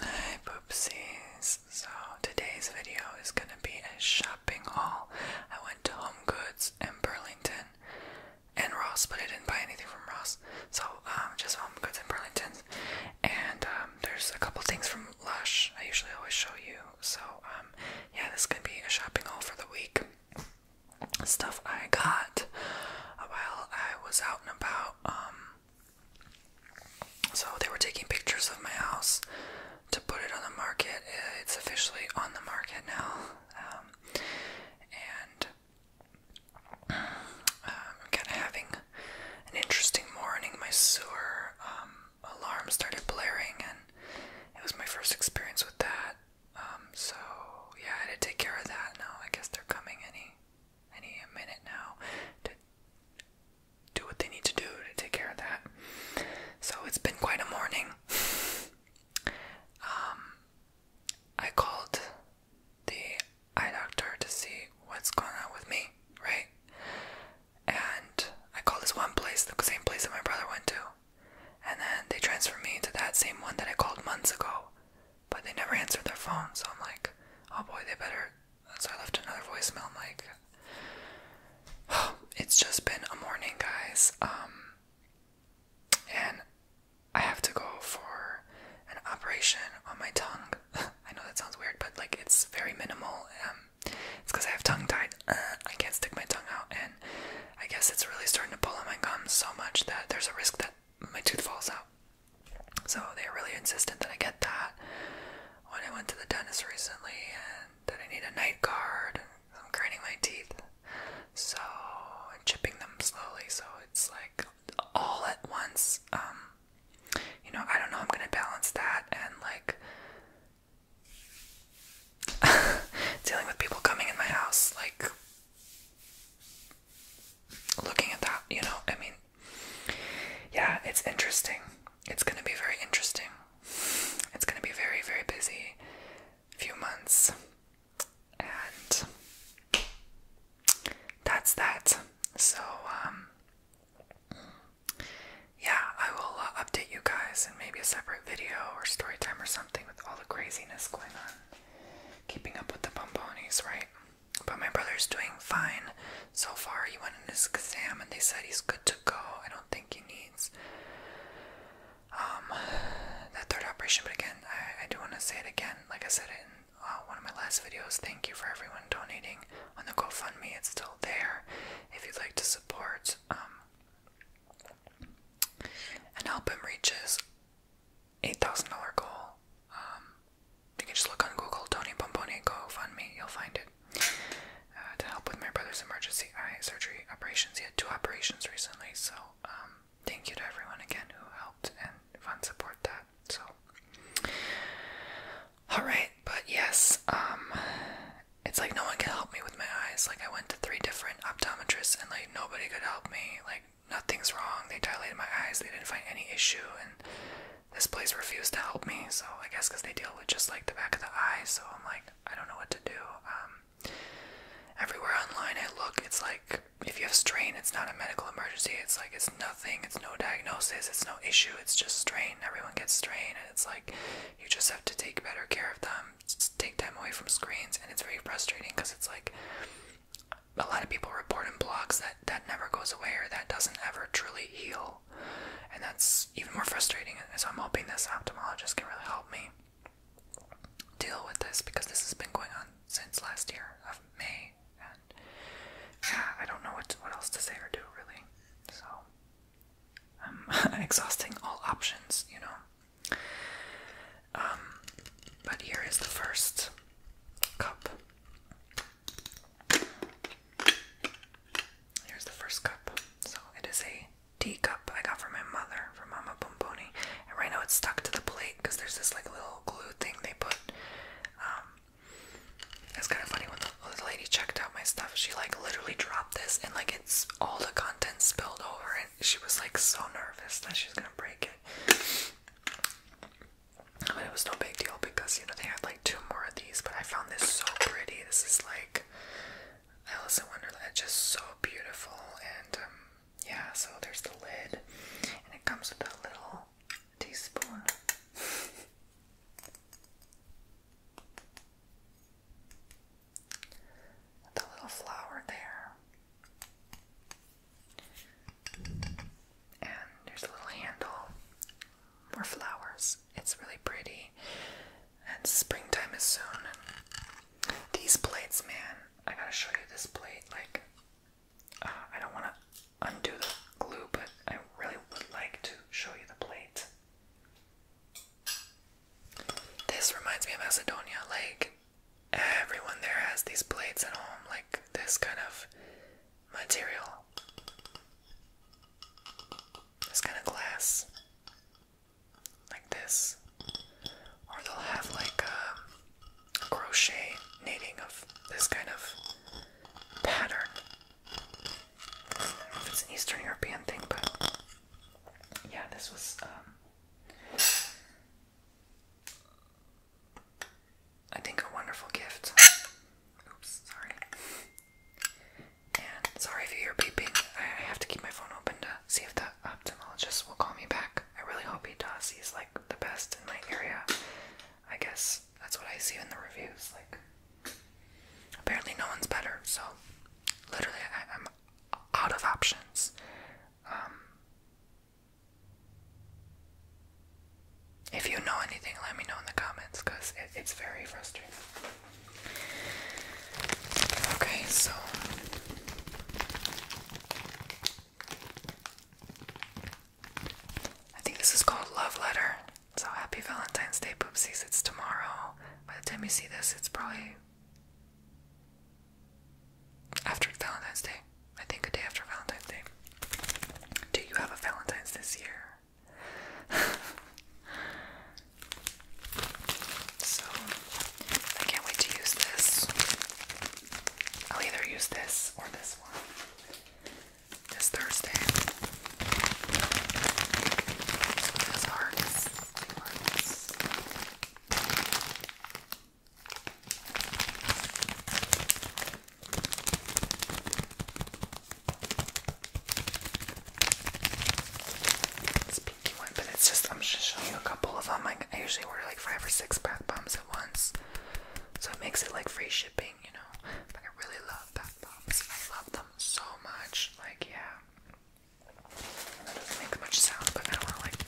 Hi poopsies. So today's video is gonna be a shopping haul. I went to Home Goods in Burlington and Ross, but I didn't buy anything from Ross. So um, just Home Goods in Burlington. And um, there's a couple things from Lush I usually always show you. So um, yeah, this is gonna be a shopping haul for the week stuff I got while I was out and about. Um, so they were taking pictures of my house to put it on the market. Uh, it's officially on the market now. Um, and um, I'm kind of having an interesting morning. My sewer alarm started blaring, and it was my first experience with that. Um, so yeah, I had to take care of that now. I guess they're coming any any minute now to do what they need to do to take care of that. So it's been quite a morning. Um I called the eye doctor to see what's going on with me, right? And I called this one place, the same place that my brother went to. And then they transferred me to that same one that I called months ago but they never answered their phone. So I'm like, oh boy, they better. So I left another voicemail. like, it's just been a morning, guys. Um, and I have to go for an operation on my tongue. I know that sounds weird, but like it's very minimal. Um, it's because I have tongue tied. Uh, I can't stick my tongue out, and I guess it's really starting to pull on my gums so much that there's a risk that my tooth falls out. So they are really insistent that I get that when I went to the dentist recently and that I need a night guard and I'm grinding my teeth. So I'm chipping them slowly so it's like all at once. Um, you know, I don't know I'm gonna balance that and like dealing with people coming in my house like looking at that, you know, I mean, yeah, it's interesting. It's going to be very interesting. It's going to be very, very busy few months. And that's that. So, um, yeah, I will uh, update you guys in maybe a separate video or story time or something with all the craziness going on keeping up with the pomponies, right? But my brother's doing fine so far. He went in his exam and they said he's good to go. I don't think he needs um that third operation. But again, I, I do want to say it again. Like I said in uh, one of my last videos, thank you for everyone donating on the GoFundMe. It's still there if you'd like to support um, and help him reach his $8,000 goal. Um, you can just look on Google, Tony Bomboni GoFundMe, you'll find it. Uh, to help with my brother's emergency eye surgery operations. He had two operations recently, so um, thank you to everyone again who helped and fund support that. So, alright, but yes, um, it's like no one can help me with my eyes. Like, I went to three different optometrists and like nobody could help me. Like, nothing's wrong. They dilated my eyes. They didn't find any issue, and this place refused to help me. So I guess because they deal with just like the back of the eye. So I'm like, I don't know what to do. Um, everywhere online I look, it's like if you have strain, it's not a medical emergency. It's like it's nothing. It's no diagnosis. It's no issue. It's just strain. Everyone gets strain, and it's like you just have to take better care of them take time away from screens, and it's very frustrating because it's like a lot of people report in blogs that that never goes away or that doesn't ever truly heal, and that's even more frustrating. And so I'm hoping this ophthalmologist can really help me deal with this because this has been going on since last year of May, and yeah, I don't know what what else to say or do really. So I'm exhausting all options, you know. Um, but here is the first cup. Here's the first cup. So it is a cup I got from my mother, from Mama Pomponi. And right now it's stuck to the plate because there's this like little glue thing they put. Um, it's kind of funny when the, the lady checked out my stuff. She like literally dropped this and like it's all the contents spilled over she was like so nervous that she's gonna break it. But it was no big deal because you know they had like two more of these. But I found this so pretty. This is like I also wonder Wonderland, just so beautiful. And um, yeah, so there's the lid, and it comes with a little teaspoon. the little flower there. And there's a little handle More flowers. It's really pretty. And springtime is soon. these plates, man, I gotta show you this plate. Like, uh, I don't want to undo the glue, but I really would like to show you the plate. This reminds me of Macedonia. Like, everyone there has these plates at home, like this kind of material. This kind of glass. Like this. Or they'll have like a um, crochet knitting of this kind of pattern. I don't know if it's an Eastern European thing, but yeah, this was um, I think a wonderful gift. Oops, sorry. And sorry if you hear I have to keep my phone open to see if the ophthalmologist will call me back. I really hope he does. He's like the best in my area. I guess that's what I see in the reviews. Like, apparently no one's better. So, literally, I'm out of options. Um, if you know anything, let me know in the comments because it's very frustrating. Okay, so I think this is called Love Letter. So happy Valentine's Day, poopsies. It's tomorrow. By the time you see this, it's probably after Valentine's Day. I think a day after Valentine's Day. Do you have a Valentine's this year? so, I can't wait to use this. I'll either use this or this one this Thursday. Those hearts, hearts. It's pinky one, but it's just I'm just showing you a couple of them. Like I usually wear like five or six bath bombs at once, so it makes it like free shipping, you know. But I really love bath bombs. I love them so much. Like yeah. That not make much sound, but I want to like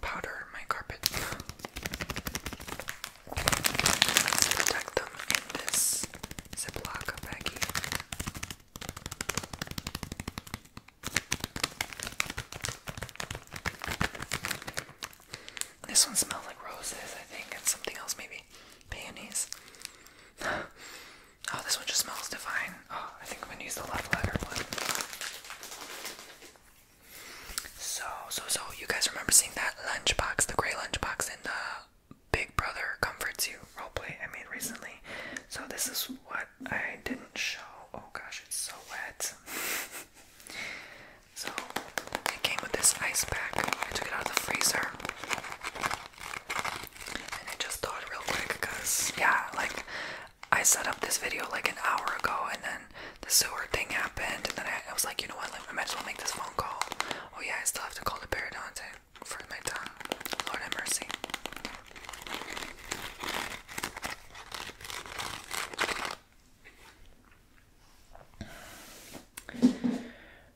powder my carpet Let's protect them in this Ziploc baggie. This one smells like roses, I think, and something else maybe. Peonies. Oh, this one just smells divine. Oh, I think I'm gonna use the left letter one. So, so, so, you guys remember seeing that lunchbox, the gray lunchbox in the Big Brother Comforts You roleplay I made recently? So, this is what I didn't show. Oh gosh, it's so wet. so, it came with this ice pack. I took it out of the freezer. And I just thought real quick because, yeah, like I set up this video like an hour ago and then the sewer thing happened. And then I, was like, you know what, like, I might as well make this phone call. Oh, yeah, I still have to call the periodontist for my tongue. Lord have mercy.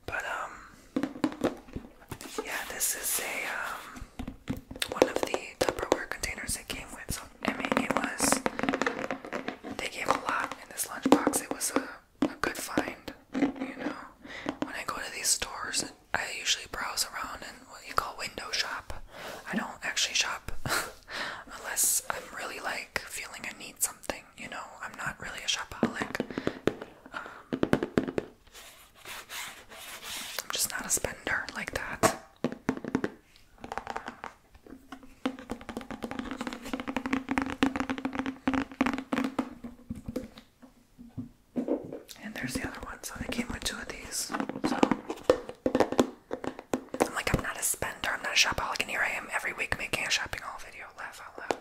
But um, yeah, this is a um, one of the Tupperware containers they came with. So I mean, it was they gave a lot in this lunchbox. It was a, a good find, you know. When I go to these stores, I usually browse around and what you call window shop. I don't actually shop unless I'm really like feeling I need something you know, I'm not really a shopaholic. Um, I'm just not a spender like that. And there's the other one, so they came with two of these. So I'm like, I'm not a spender, I'm not a shopaholic, and here I am every week making a shopping haul video. Laugh out loud.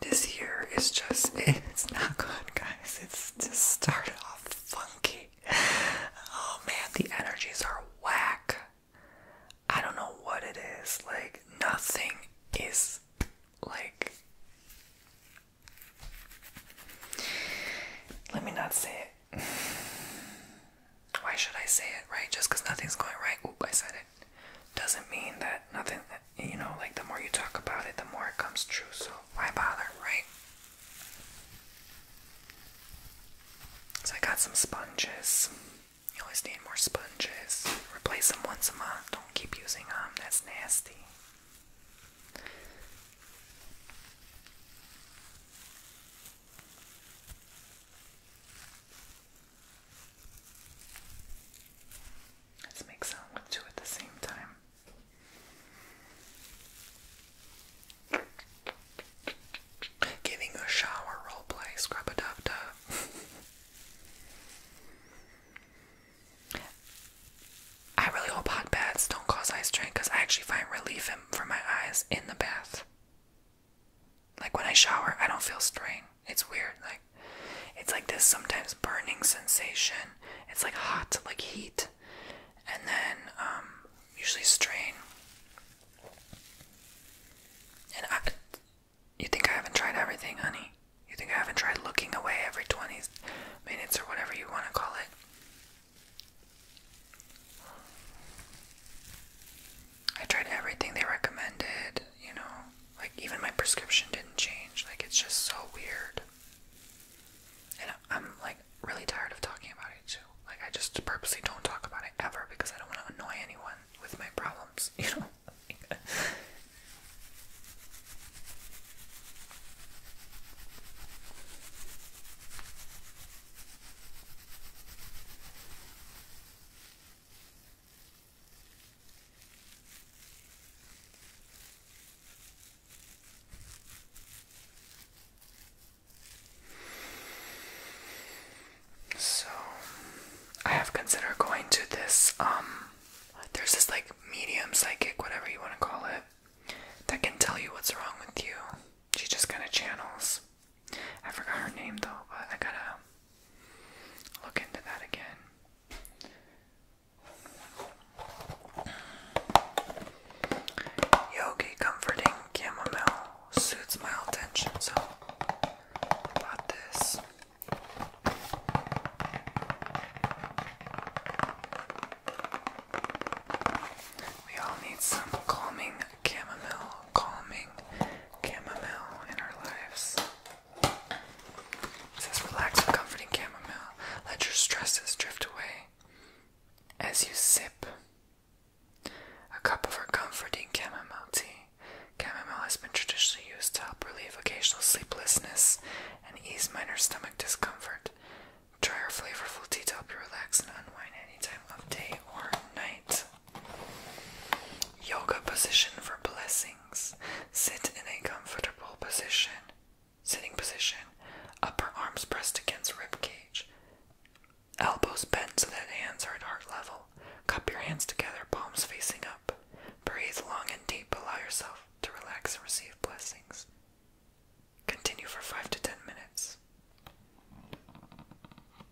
This year is just, it's not good, guys. It's just started off funky. Oh man, the energies are whack. I don't know what it is. Like, nothing is like. Let me not say it. Why should I say it, right? Just because nothing's going right. Oop, I said doesn't mean that nothing you know like the more you talk about it the more it comes true so why bother right so i got some sponges you always need more sponges replace them once a month don't keep using them that's nasty Let's make sound with two at the same time. Giving a shower roleplay, scrub a dub dub. I really hope hot baths don't cause eye strain because I actually find relief in, my eyes in the bath. Like when I shower, I don't feel strain. It's weird. Like it's like this sometimes burning sensation. It's like hot, like heat, and then um, usually strain. And you think I haven't tried everything, honey? You think I haven't tried looking away every twenty minutes or whatever you want to call it? I tried everything they recommended, you know, like even my prescription didn't change. Like it's just so weird. And I'm like really tired of talking about it too. Like I just purposely don't talk about it ever because I don't want to annoy anyone with my problems, you know. So I have considered going to this um there's this like medium psychic whatever you want to call it that can tell you what's wrong with you. She just kind of channels. I forgot her name though, but I gotta look into that again. Yogi comforting chamomile suits mild tension, so I this. We all need some calming chamomile, calming chamomile in our lives. It says, relax with comforting chamomile. Let your stresses drift away as you sip a cup of our comforting chamomile tea. Chamomile has been traditionally used to help relieve occasional sleeplessness and ease minor stomach discomfort. Try our flavorful tea to help you relax and unwind any time of day or night. Yoga position for blessings. Sit in a comfortable position. Sitting position. Upper arms pressed against rib cage. Elbows bent so that hands are at heart level. Cup your hands together, palms facing up. Breathe long and deep. Allow yourself to relax and receive blessings. Continue for 5 to 10 minutes.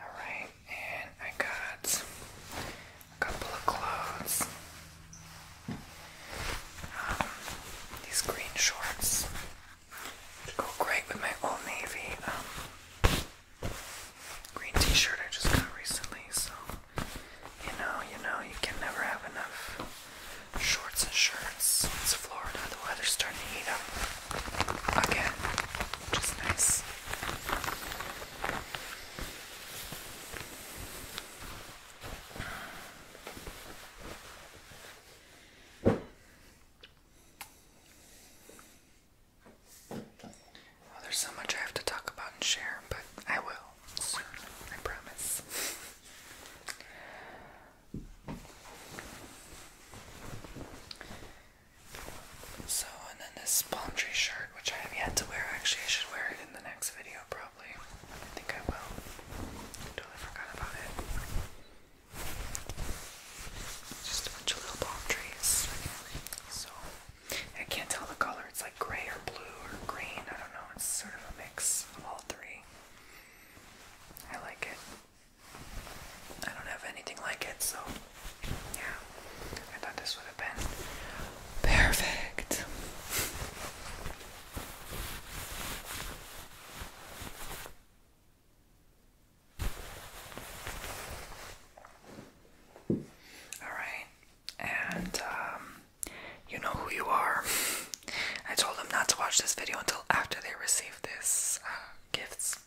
All right, and I got a couple of clothes these green shorts go great with my old navy um, green t-shirt I just got recently. So you know, you know, you can never have enough shorts and shirts. It's Florida. The weather's starting to heat up again, which nice there's so much I have to talk about and share, but I will I promise. So, and then this palm shirt, which I have yet to wear, actually, I should wear it in the next video, probably probably. I think I will. totally forgot about it. Just a bunch of little palm trees. So, I can't tell the color. It's like gray or blue or green. I don't know. It's sort of a mix of all three. I like it. I don't have anything like it, so yeah. I thought this would have been perfect. All right, and um, you know who you are. I told them not to watch this video until after they receive this uh, gifts,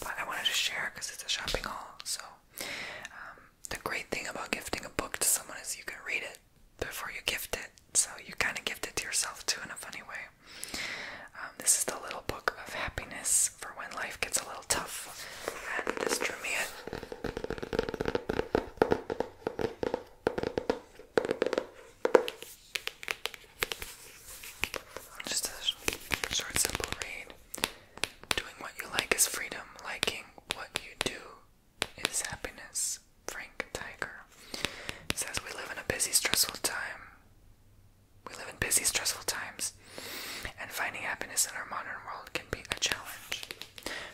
but I wanted to share because it's a shopping haul. So um, the great thing about gifting a book to someone is you can read it before you gift it. So you kind of gift it to yourself too in a funny way. Um, this is the little book of happiness for when life gets a little tough. this drew me in. Just a short, simple read. Doing what you like is freedom. Liking what you do is happiness. Frank Tiger says we live in a busy, stressful time. We live in busy, stressful times, and finding happiness in our modern world can be a challenge.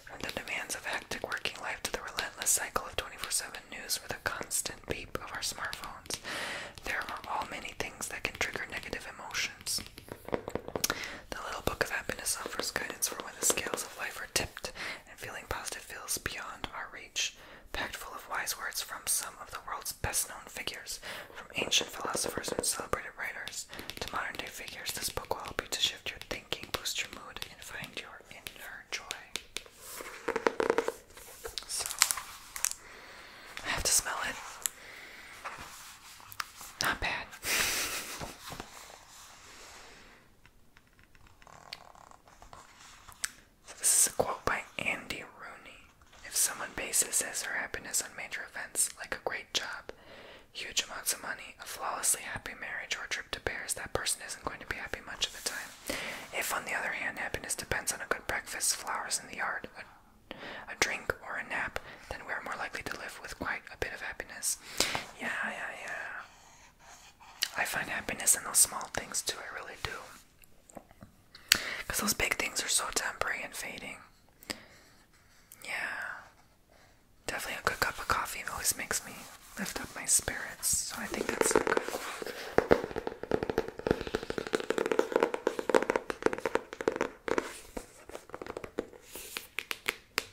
From the demands of hectic working life to the relentless cycle of 24 7 news with a constant beep of our smartphones, there are all many things that can trigger negative emotions. The little book of happiness offers guidance for when the scales of life are tipped and feeling positive feels beyond our reach. Packed full of wise words from some of the world's best known figures, from ancient philosophers and celebrated writers to modern day figures, this book will help you to shift your thinking, boost your mood, and find your inner joy. So, I have to smell it. Not bad. So this is a quote by Andy Rooney. If someone bases his or happiness on major events like a great job, huge amounts of money, a flawlessly happy marriage, or a trip to Paris, that person isn't going to be happy much of the time. If, on the other hand, happiness depends on a good breakfast, flowers in the yard, a drink, or a nap, then we are more likely to live with quite a bit of happiness. Yeah, yeah, yeah. I find happiness in those small things too, I really do. Because those big things are so temporary and fading. Yeah. Definitely a good cup of coffee always makes me lift up my spirits, so I think that's so good.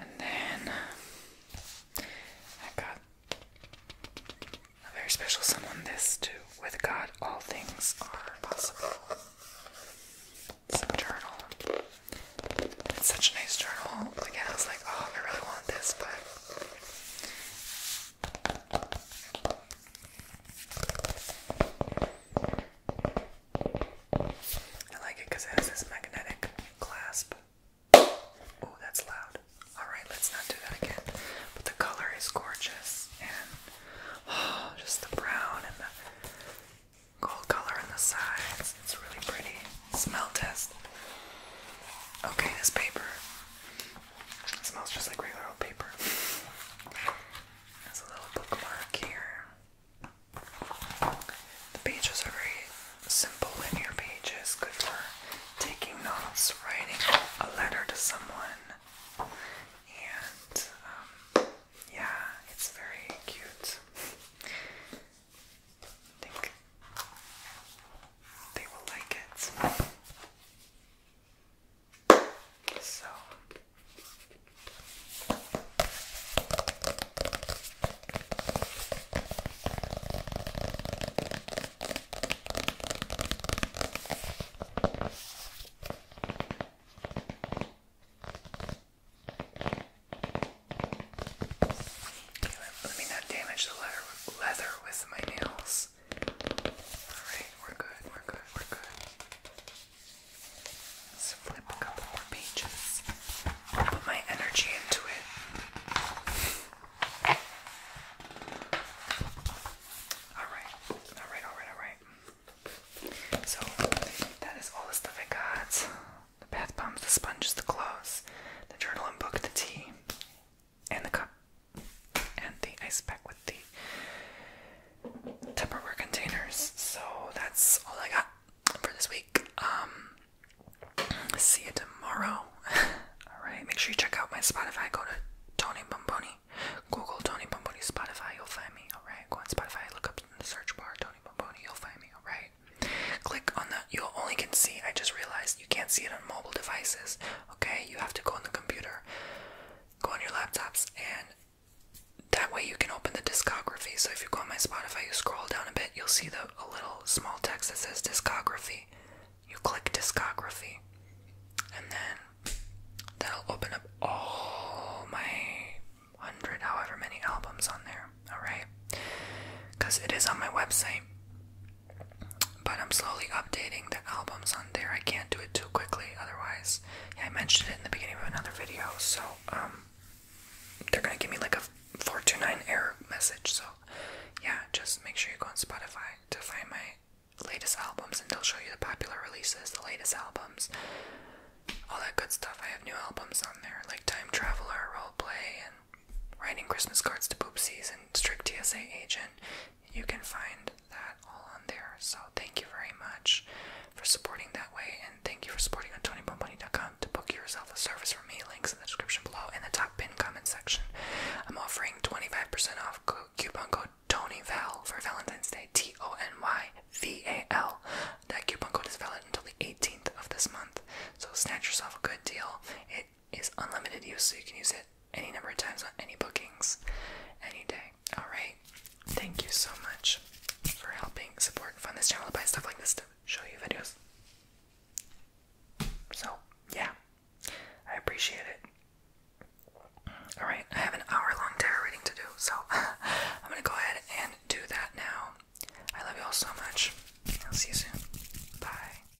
And then I got a very special someone this too. With God, all things are possible. It's journal. It's such a nice journal. Again, I was like, oh, I really want this, but I like it because it has this magnetic clasp. Oh, that's loud. Alright, let's not do that again. But the color is gorgeous and oh, just the brown and the gold color on the sides. It's really pretty. Smell test. Okay, this paper it smells just like regular old paper. There's a little bookmark here. The pages are very simple linear pages, good for taking notes, writing a letter to someone, and um, yeah, it's very cute. I think they will like it. So let me not damage the leather leather with my nails. Alright, we're good, we're good, we're good. Let's flip a couple more pages. put my energy into it. Alright, alright, alright, alright. So, that is all the stuff I got the bath bombs, the sponges, the clothes, the journal and book, the tea and the cup and the ice pack with the Tupperware containers. So that's all I got for this week. Um, see you tomorrow. all right, make sure you check out my Spotify. Go to Tony Bomboni. Google Tony Bomboni Spotify. You'll find me. All right, go on Spotify. Look up in the search bar Tony Bomboni. You'll find me. All right. Click on the. You will only can see. I just realized you can't see it on mobile devices. Okay, you have to go on the computer, go on your laptops, and that way you can open the discography. So if you go on my Spotify, you scroll down a bit, you'll see the a little small text that says discography. You click discography, and then that'll open up all my hundred, however many albums on there. All right, because it is on my website. But I'm slowly updating the albums on there. I can't do it too quickly, otherwise, I mentioned it in the beginning of another video. So, um, they're gonna give me like a 429 error message. So, yeah, just make sure you go on Spotify to find my latest albums, and they'll show you the popular releases, the latest albums, all that good stuff. I have new albums on there, like Time Traveler, Role Play, and writing Christmas cards to poopsies and strict TSA agent. You can find that all on there. So thank you very much for supporting that way, and thank you for supporting on TonyBumpBunny.com to book yourself a service from me. Links in the description below in the top pin comment section. I'm offering 25% off coupon code TonyVal for Valentine's Day. T O N Y V A L. That coupon code is valid until the 18th of this month. So snatch yourself a good deal. It is unlimited use, so you can use it any number of times on any bookings, any day. Alright, thank you so much for helping support and fund this channel buy stuff like this to show you videos. So, yeah, I appreciate it. Alright, I have an hour long tarot reading to do, so I'm gonna go ahead and do that now. I love you all so much. I'll see you soon. Bye.